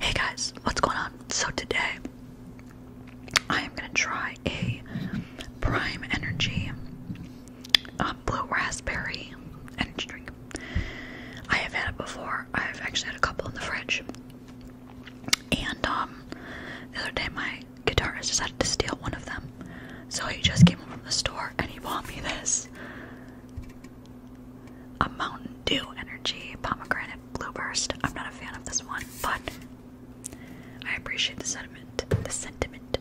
Hey guys, what's going on? So today I am gonna try a Prime Energy um, Blue Raspberry energy drink. I have had it before. I've actually had a couple in the fridge. And um, the other day my guitarist decided to steal one of them. So he just came home from the store and he bought me this a Mountain Dew Energy pomegranate blueburst. I'm not a fan of this one, but I appreciate the sentiment. The sentiment.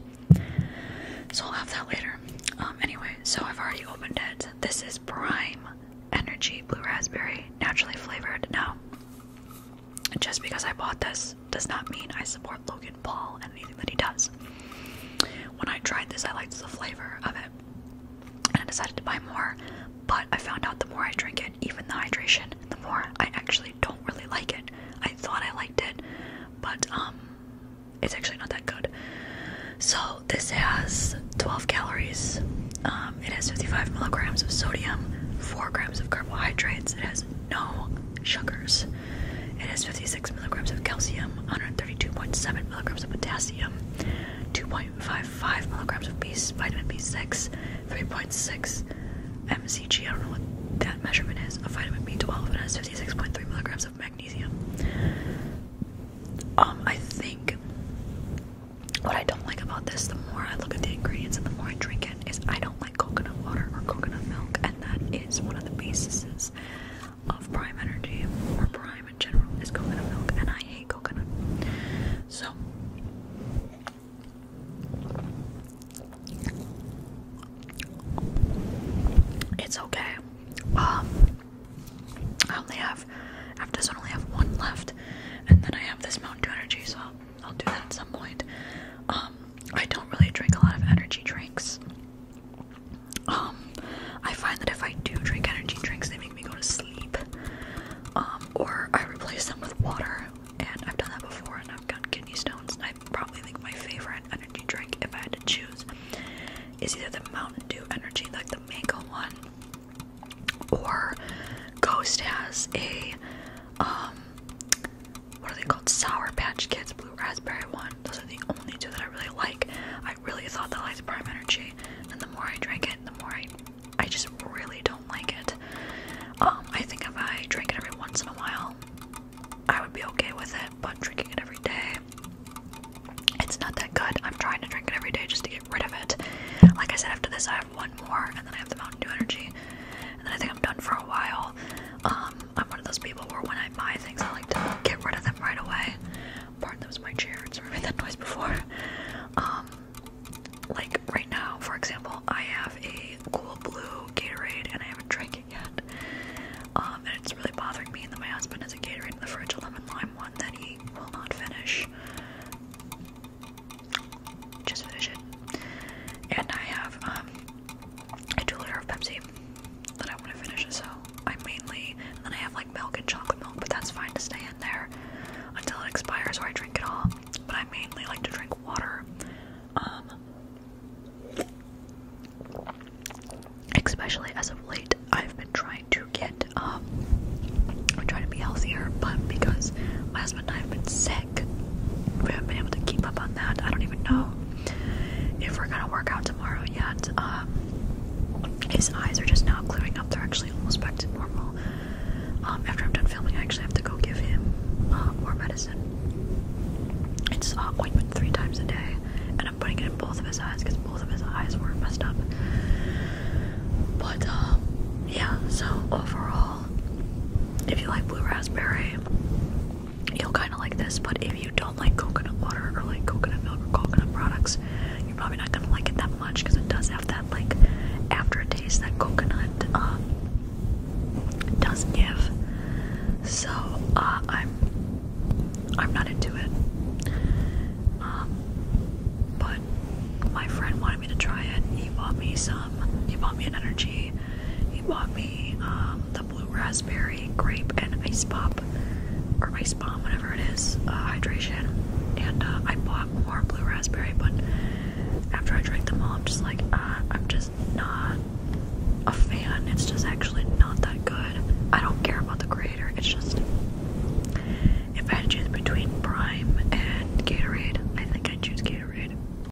So I'll have that later. Um, anyway, so I've already opened it. This is Prime Energy Blue Raspberry, naturally flavored. Now, just because I bought this does not mean I support Logan Paul and anything that he does. When I tried this, I liked the flavor of it and I decided to buy more. But I found out the more I drink it, even the hydration, the more I actually don't really like it. I thought I liked it, but um, it's actually not that good. So this has 12 calories. Um, it has 55 milligrams of sodium, 4 grams of carbohydrates. It has no sugars. It has 56 milligrams of calcium, 132.7 milligrams of potassium. 2.55 milligrams of B, vitamin B6, 3.6 mcg. I don't know what that measurement is. Of vitamin B12 and has 56.3 milligrams of magnesium. Um, I think what I don't like about this, the more I look at the ingredients and the more I drink it, is I don't like coconut water or coconut milk, and that is one of the bases of Prime Energy or Prime in general is coconut milk, and I hate coconut. So, it's okay. Um, I only have after this, I only have one left, and then I have this Mountain Dew Energy, so I'll, do that at some point. Um, I don't really drink a lot of energy drinks. Um, I find that if I do drink energy drinks, they make me go to sleep. Um, or I replace them with water, and I've done that before, and I've gotten kidney stones. I probably think my favorite energy drink, if I had to choose, is either the Mountain Dew energy, like the mango one, or Ghost has a um, what are they called? Sour Patch Kids raspberry one. Those are the only two that I really like. I really thought that I liked prime energy, and the more I drink it, the more I I just really don't like it. Um, I think if I drink it every once in a while, I would be okay with it, but drinking it every day, it's not that good. I'm trying to drink it every day just to get rid of it. Like I said, after this I have one more, and then I have the Mountain Dew energy, and then I think I'm done for a while. Um, I'm one of those people where when I buy things, I like to get rid of them right away. Pardon, that was my chair. It's made that noise before. Um, like right now, for example, I have a cool blue Gatorade and I haven't drank it yet. Um, and it's really bothering me that my husband has a Gatorade in the fridge, a lemon lime one that he will not finish. Just finish it. And I have um, a two liter of Pepsi that I want to finish, so I mainly, and then I have like milk and chocolate milk, but that's fine to stay in there until it expires or I drink it all. But I mainly like to drink water, um, especially as of late. I've been trying to get, um, I'm trying to be healthier, but because my husband and I have been sick, we haven't been able to keep up on that. I don't even know if we're gonna work out tomorrow yet. Um, his eyes are just now clearing up. They're actually almost back to normal. Um, after I'm done filming, I actually have to go give him uh, more medicine. It's uh, ointment three times a day, and I'm putting it in both of his eyes because both of his eyes were messed up. But um, yeah, so overall, if you like blue raspberry, you'll kind of like this, but if you don't like coconut water or like coconut milk or coconut products, you're probably not gonna like it that much because it does have that like aftertaste that coconut um, does give. So uh, I'm I'm not into it, um, but my friend wanted me to try it. He bought me some. He bought me an energy he bought me um, the blue raspberry grape and ice pop, or ice bomb, whatever it is, uh, hydration. And uh, I bought more blue raspberry, but after I drank them all, I'm just like, uh, I'm just not a fan. It's just actually not that good. I don't care about the creator. It's just if I had to choose between Prime and Gatorade, I think I'd choose Gatorade.